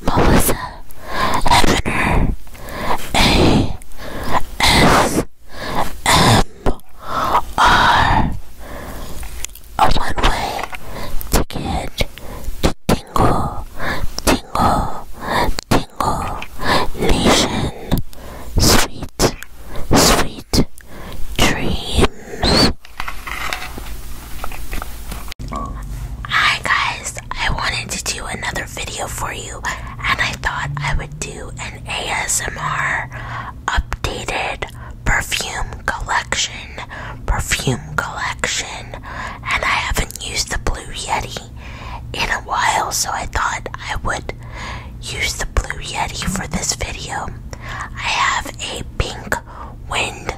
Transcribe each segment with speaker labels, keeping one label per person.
Speaker 1: Melissa Evaner A S M R a one-way ticket to Tingle, Tingle, Tingle Nation. Sweet, sweet dreams. Hi guys, I wanted to do another video for you and I thought I would do an ASMR updated perfume collection, perfume collection, and I haven't used the Blue Yeti in a while, so I thought I would use the Blue Yeti for this video. I have a pink wind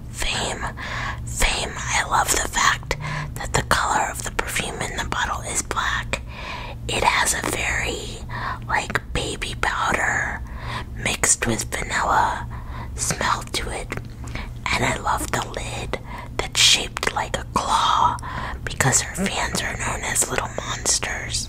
Speaker 1: Fame. Fame. I love the fact that the color of the perfume in the bottle is black. It has a very, like, baby powder mixed with vanilla smell to it. And I love the lid that's shaped like a claw because her fans are known as little monsters.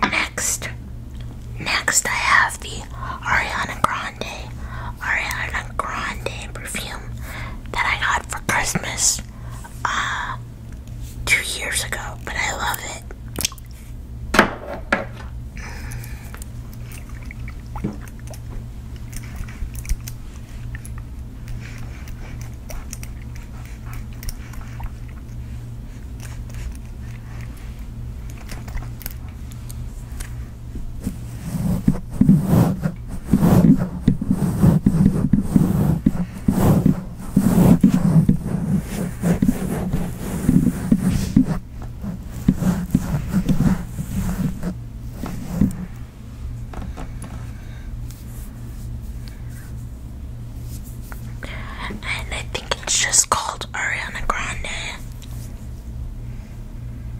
Speaker 1: Next, next I have the Ariana Grande, Ariana Grande perfume that I got for Christmas uh, two years ago, but I love it. And I think it's just called Ariana Grande.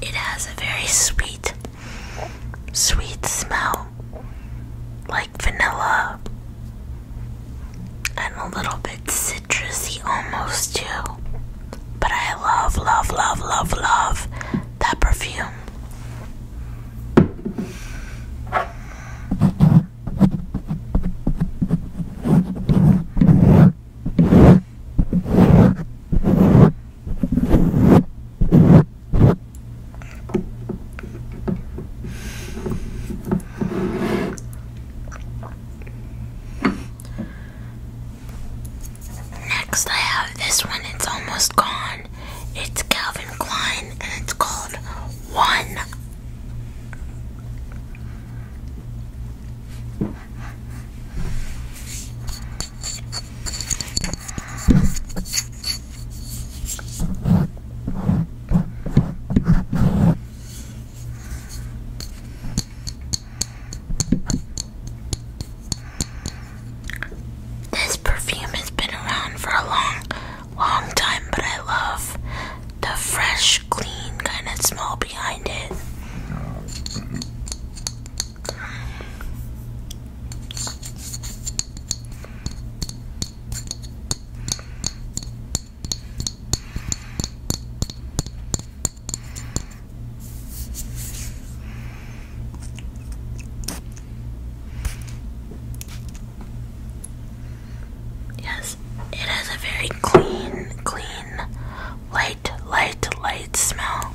Speaker 1: It has a very sweet, sweet smell, like vanilla, and a little bit citrusy almost, too. But I love, love, love, love, love that perfume. Next, I have this one. It's almost gone. It's Calvin Klein, and it's called One. This perfume has been around for a long, long time, but I love the fresh, clean kind of smell behind it. Yes, it has a very clean, clean, light, light, light smell.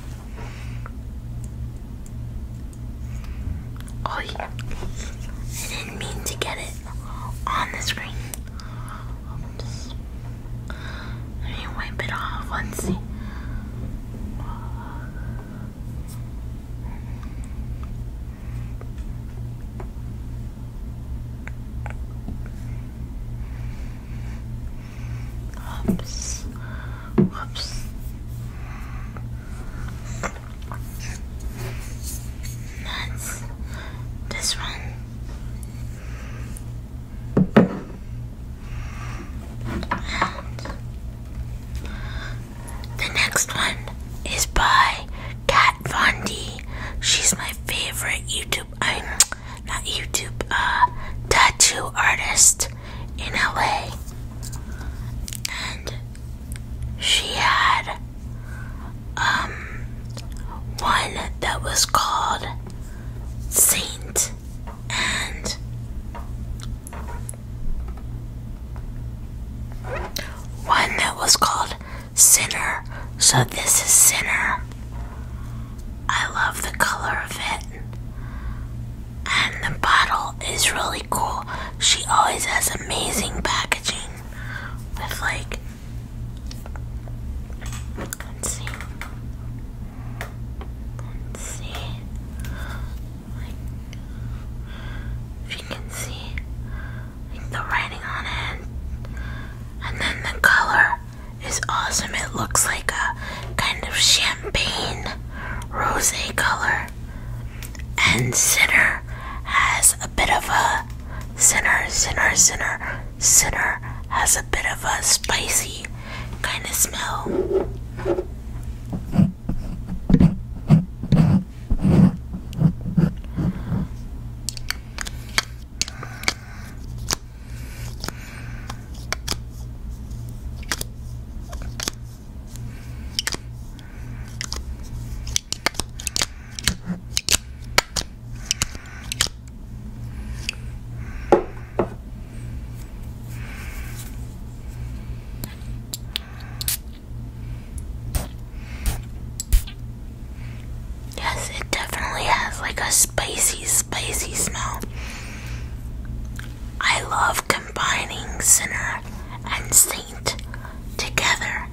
Speaker 1: Oh, yeah. I didn't mean to get it on the screen. Let me wipe it off. Let's see. Whoops. Whoops. That's this one the next one is by Kat Von D. She's my favorite YouTube, I'm not YouTube, uh, tattoo artist in LA. And she had um one that was called Saint and one that was called Sinner. So this is Sinner. I love the color of it. And the bottle is really cool. She always has amazing packaging with like let's see see like if you can see like the writing on it and then the color is awesome it looks like a kind of champagne rose color and Sinner has a bit of a Sinner Sinner Sinner Sinner has a bit of a spicy kind of smell. Yes, it definitely has like a spicy, spicy smell. I love combining sinner and saint together.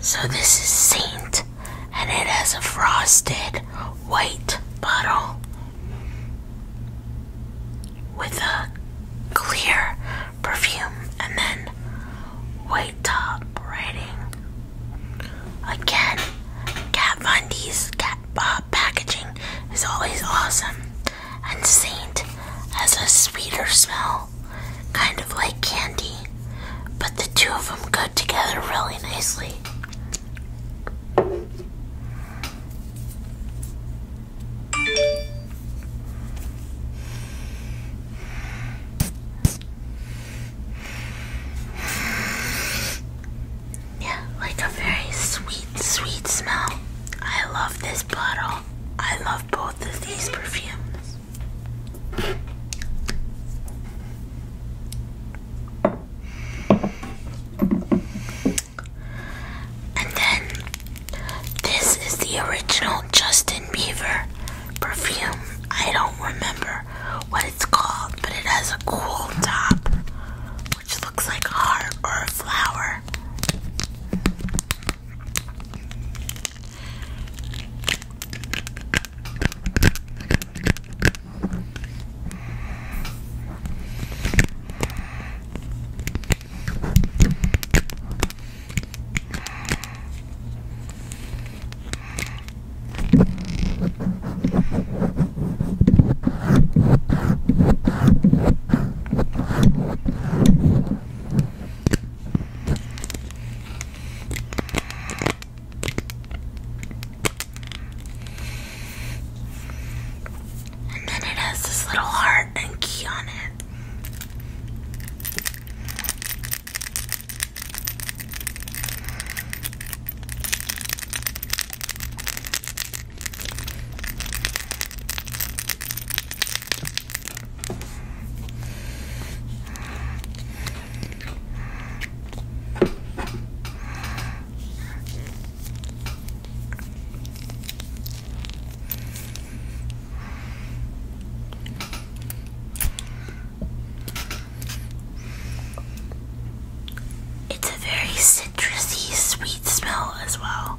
Speaker 1: So this is Saint, and it has a frosted white bottle with a clear perfume and then white top writing. Again, Kat Von D's cat, Bob packaging is always awesome and saint has a sweeter smell, kind of like candy, but the two of them go together really nicely. Yeah, like a very sweet, sweet smell. I love this bottle. I love both of these perfumes. And then this is the original Justin Bieber perfume. I don't remember what it's called, but it has a cool top which looks like a heart or a flower. And then it has this little heart and key on it. It's a very citrusy, sweet smell as well.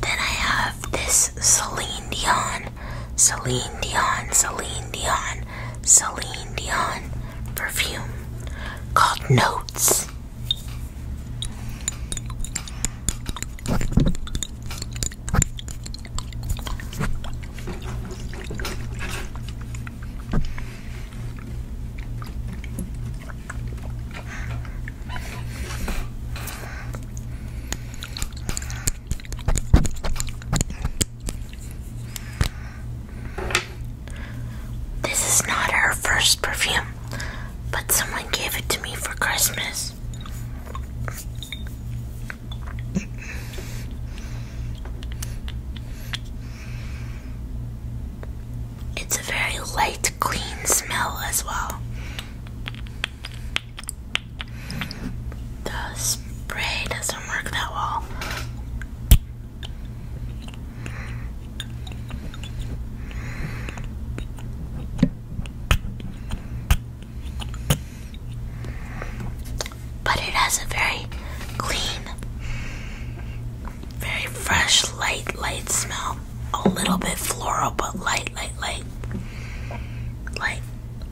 Speaker 1: Then I have this Celine Dion, Celine Dion, Celine Dion, Celine Dion perfume called Notes. This is not our first perfume, but someone gave it to me for Christmas. It's a very light, clean smell as well. The spray doesn't work that well. But it has a very clean, very fresh, light, light smell. A little bit floral, but light, light, light. Light.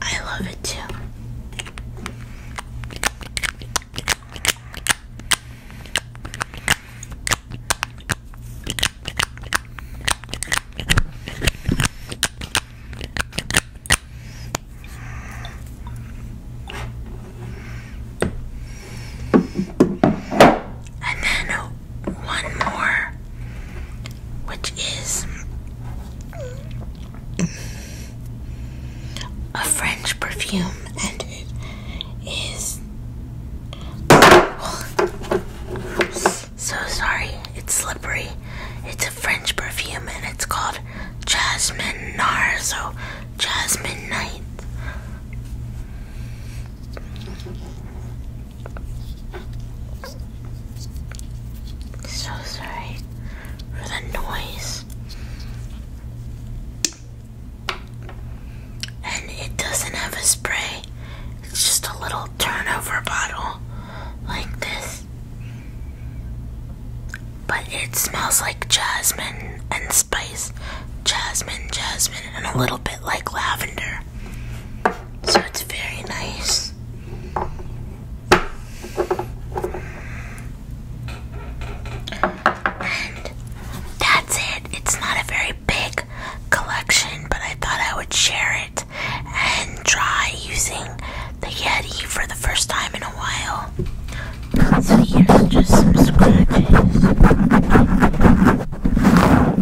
Speaker 1: I love it too. And then one more, which is a French perfume, and it is. So sorry, it's slippery. It's a French perfume and it's called Jasmine Naro, Jasmine Night. So sorry for the noise. And it doesn't have a spray, it's just a little turnover bottle like this. But it smells like jasmine and spice. Jasmine, jasmine, and a little bit like lavender. So it's very nice. And that's it. It's not a very big collection, but I thought I would share it and try using the Yeti for the first time in a while. So here's just some scratches.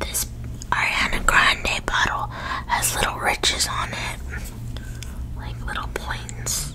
Speaker 1: This Ariana Grande bottle has little ridges on it, like little points.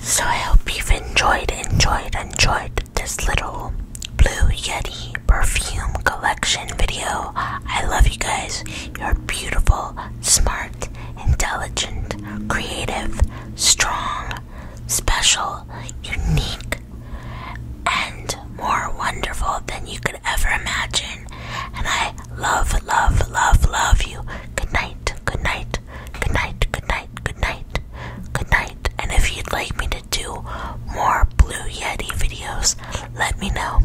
Speaker 1: So I hope you've enjoyed, enjoyed, enjoyed this little Blue Yeti perfume collection video. I love you guys. You're beautiful, smart, intelligent, creative, strong, special, unique, and more wonderful than you could ever imagine. And I love, love, love, love you. Good night, good night, good night, good night, good night, good night. And if you'd like me to do more Blue Yeti videos, let me know.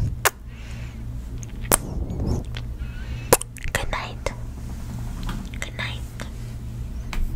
Speaker 1: Good night. Good night.